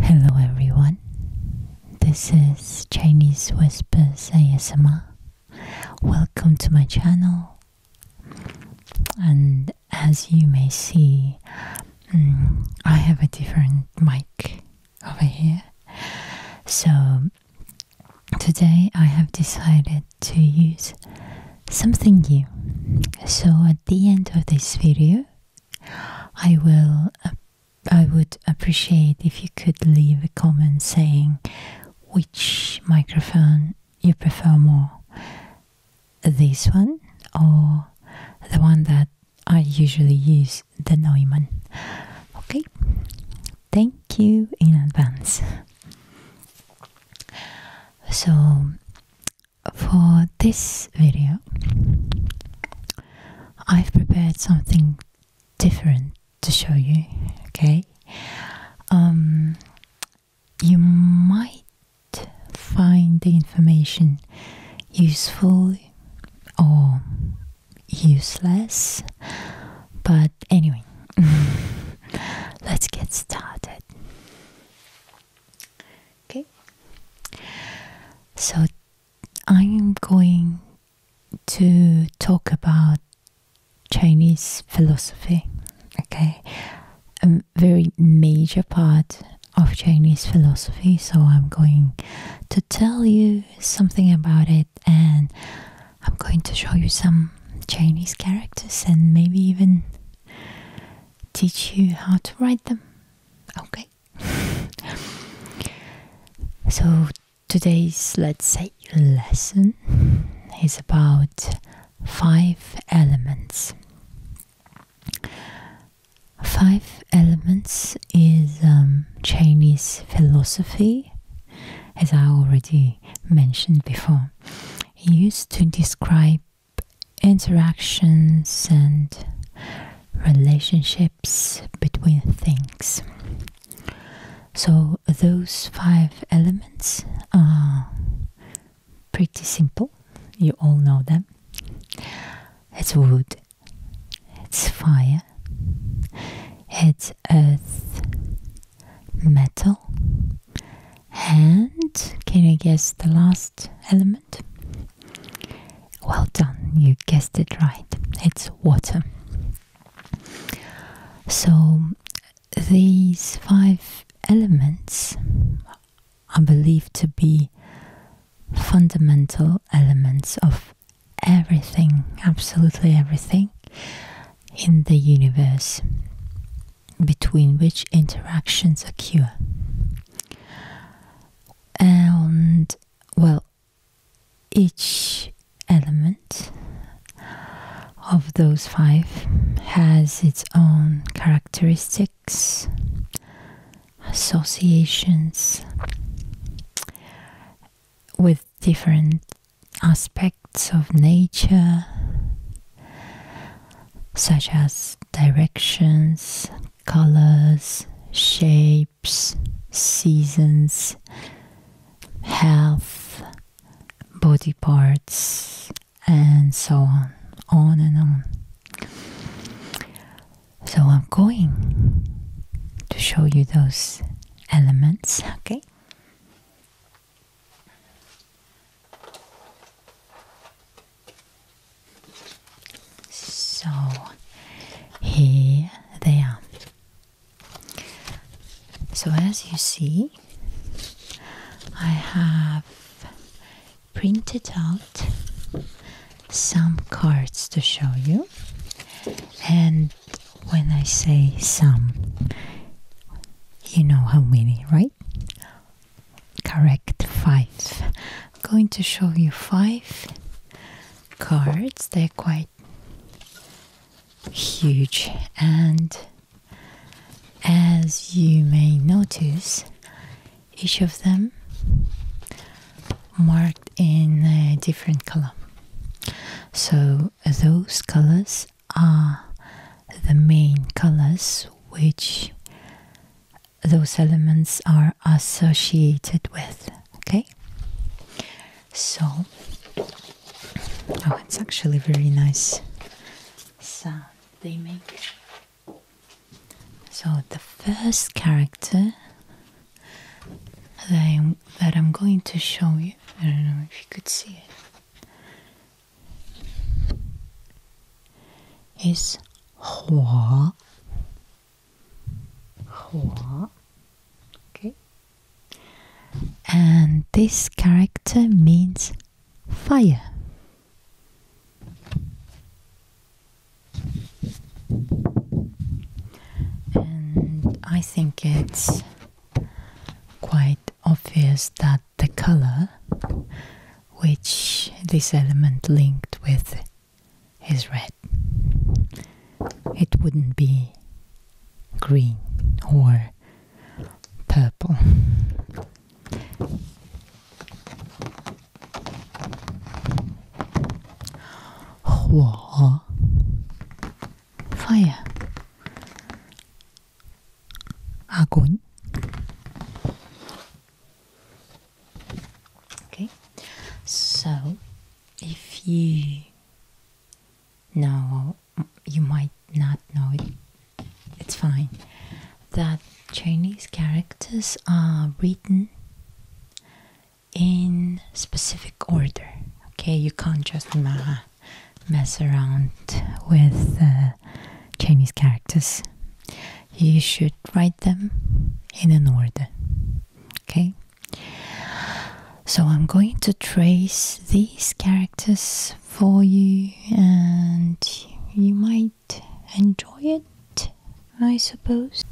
Hello, everyone. This is Chinese Whispers ASMR. Welcome to my channel. And as you may see, mm, I have a different mic over here. So today I have decided to use something new. So at the end of this video, I will I would appreciate if you could leave a comment saying which microphone you prefer more. This one or the one that I usually use, the Neumann. Okay, thank you in advance. So, for this video, I've prepared something different to show you. Okay, um, you might find the information useful or useless, but anyway. Let's get started. Okay. So I'm going to talk about Chinese philosophy. Okay. A very major part of Chinese philosophy, so I'm going to tell you something about it and I'm going to show you some Chinese characters and maybe even teach you how to write them. Okay. so today's let's say lesson is about five elements. Five Elements is um, Chinese philosophy, as I already mentioned before used to describe interactions and relationships between things. So, those five elements are pretty simple, you all know them. It's wood, it's fire, it's earth, metal, and can you guess the last element? Well done, you guessed it right. It's water. So, these five elements are believed to be fundamental elements of everything, absolutely everything in the universe between which interactions occur. And well, each element of those five has its own characteristics, associations with different aspects of nature, such as directions, colors, shapes, seasons, health, body parts, and so on, on and on. So I'm going to show you those elements, okay? So here they are. So, as you see, I have printed out some cards to show you, and when I say some, you know how many, right? Correct, five. I'm going to show you five cards. They're quite huge, and as you may notice, each of them marked in a different color. So those colors are the main colors which those elements are associated with. Okay, so oh, it's actually very nice sound they make. So the first character that I'm going to show you, I don't know if you could see it is hua. Hua. Okay. And this character means fire. And I think it's quite obvious that the color which this element linked with is red. It wouldn't be green or purple. Hua fire огонь okay so if you know you might not know it it's fine that Chinese characters are written in specific order okay you can't just mess around with uh, Chinese characters. You should write them in an order. Okay? So I'm going to trace these characters for you and you might enjoy it, I suppose.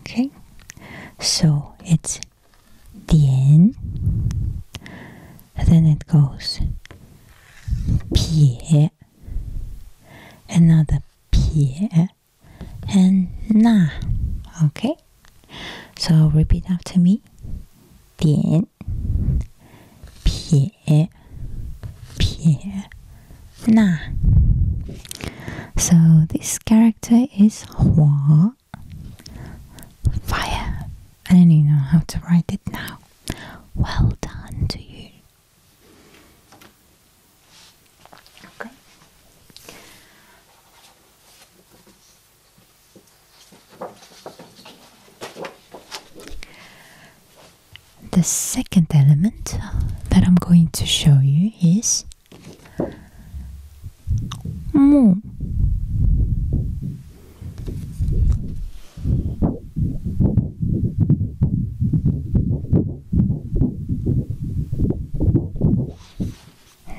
Okay? So it's the then it goes Pie, another Pie, and Na. Okay, so repeat after me. So this character is Hua. Fire. I don't even know how to write it now. Well done to you. Okay. The second element that I'm going to show you is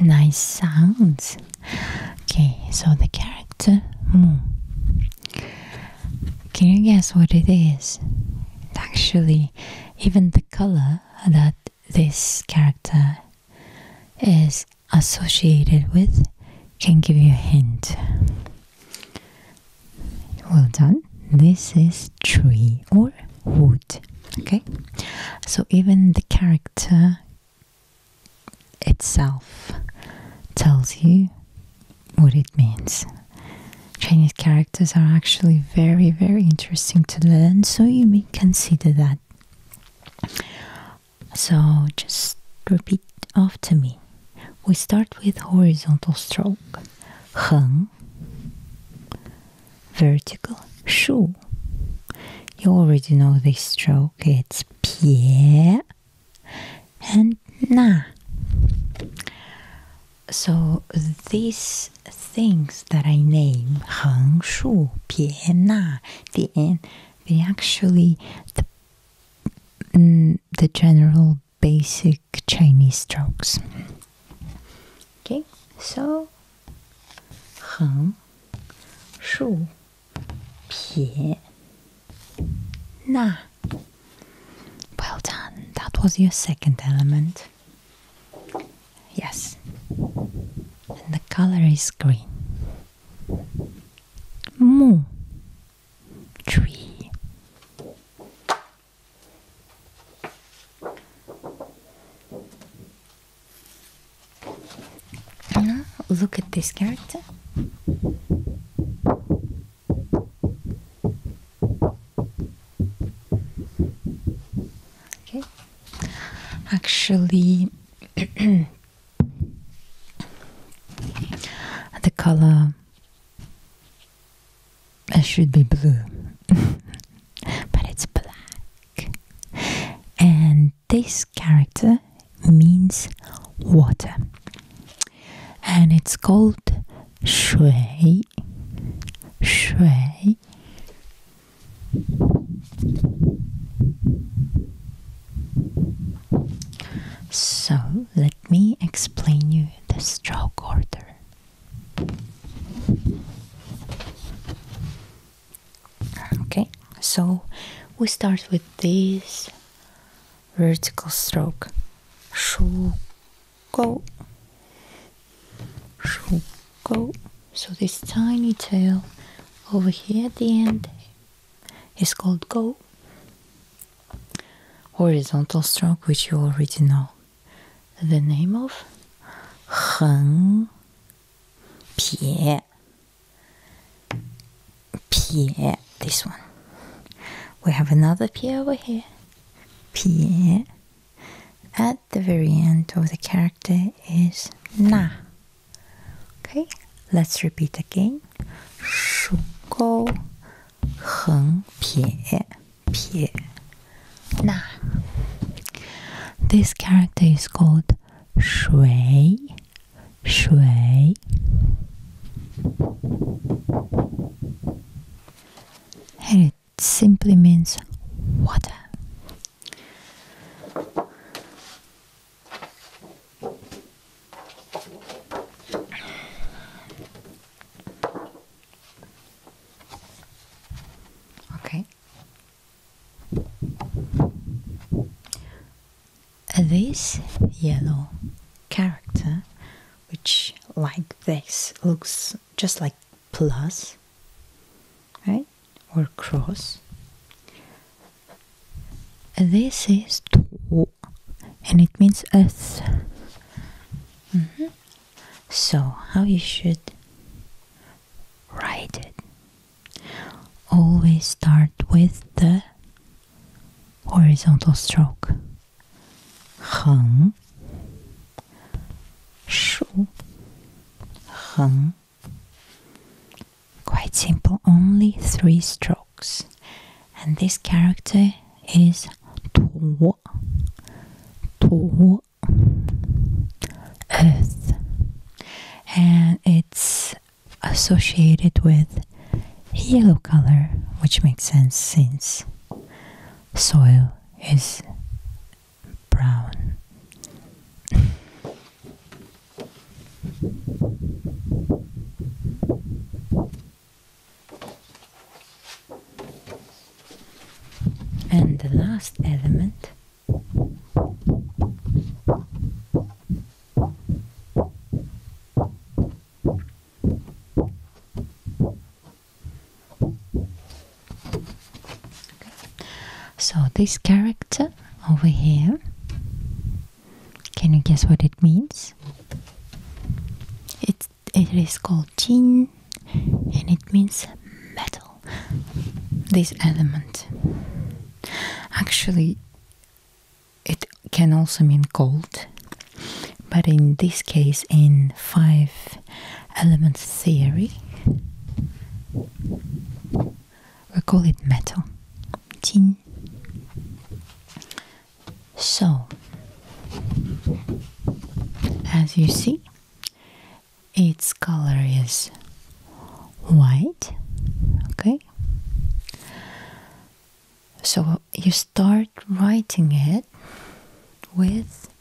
Nice sounds. Okay, so the character moon. Can you guess what it is? Actually, even the color that this character is associated with can give you a hint. Well done. This is tree or wood. Okay? So even the character itself tells you what it means. Chinese characters are actually very, very interesting to learn, so you may consider that so just repeat after me. We start with horizontal stroke. 横 vertical 竖 You already know this stroke. It's 撇 and 捺. So this things that I name, Hang Shu, Piena, Dian, they actually the, mm, the general basic Chinese strokes. Okay, so Hang Shu, Piena. Well done, that was your second element. Yes. And the color is green. Moo. Tree. look at this character. Okay. Actually, the color it should be blue, but it's black. And this character means water, and it's called shui. Shui so let me explain you the stroke order. Okay, so we start with this vertical stroke. Shuko Go. So this tiny tail over here at the end is called go. Horizontal stroke, which you already know. The name of 横撇撇 this one. We have another 撇 over here. 撇 at the very end of the character is na. Okay, let's repeat again. na. This character is called 水水 해를 simply means water. Okay. This yellow character, which like this looks just like plus, right, or cross. This is two, and it means a. Mm-hmm. So, how you should write it? Always start with the horizontal stroke. Hung shu, heng. Quite simple, only three strokes. And this character is tuo, tuo, earth. And it's associated with yellow color, which makes sense since soil is brown. and the last element so this character over here, can you guess what it means? It it is called Jin, and it means metal. This element. Actually, it can also mean gold, but in this case, in five element theory. We call it metal. Tin. So, as you see, its color is white. Okay. So you start writing it with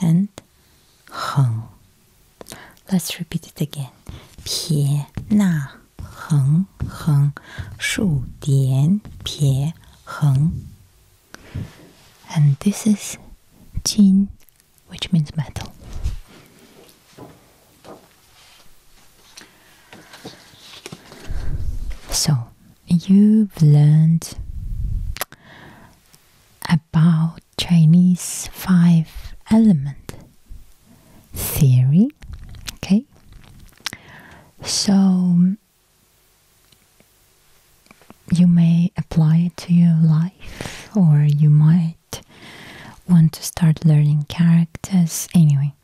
and heng. Let's repeat it again. 撇捺横横竖点撇横 And this is jin, which means metal. So, you've learned about Chinese five element theory. Okay, so you may apply it to your life, or you might want to start learning characters. Anyway,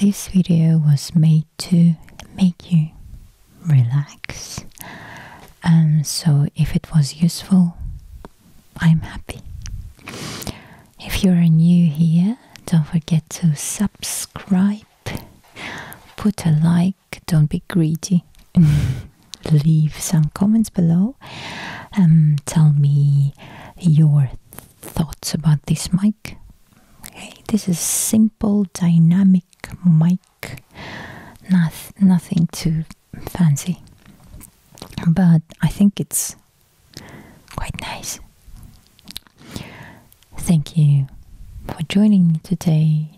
this video was made to make you relax um, so, if it was useful, I'm happy. If you're new here, don't forget to subscribe, put a like, don't be greedy, leave some comments below, um, tell me your thoughts about this mic. Okay, this is simple, dynamic mic. Noth nothing to fancy, but I think it's quite nice. Thank you for joining me today.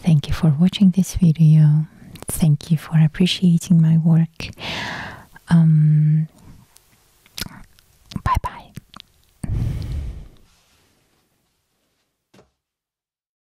Thank you for watching this video. Thank you for appreciating my work. Um, bye bye.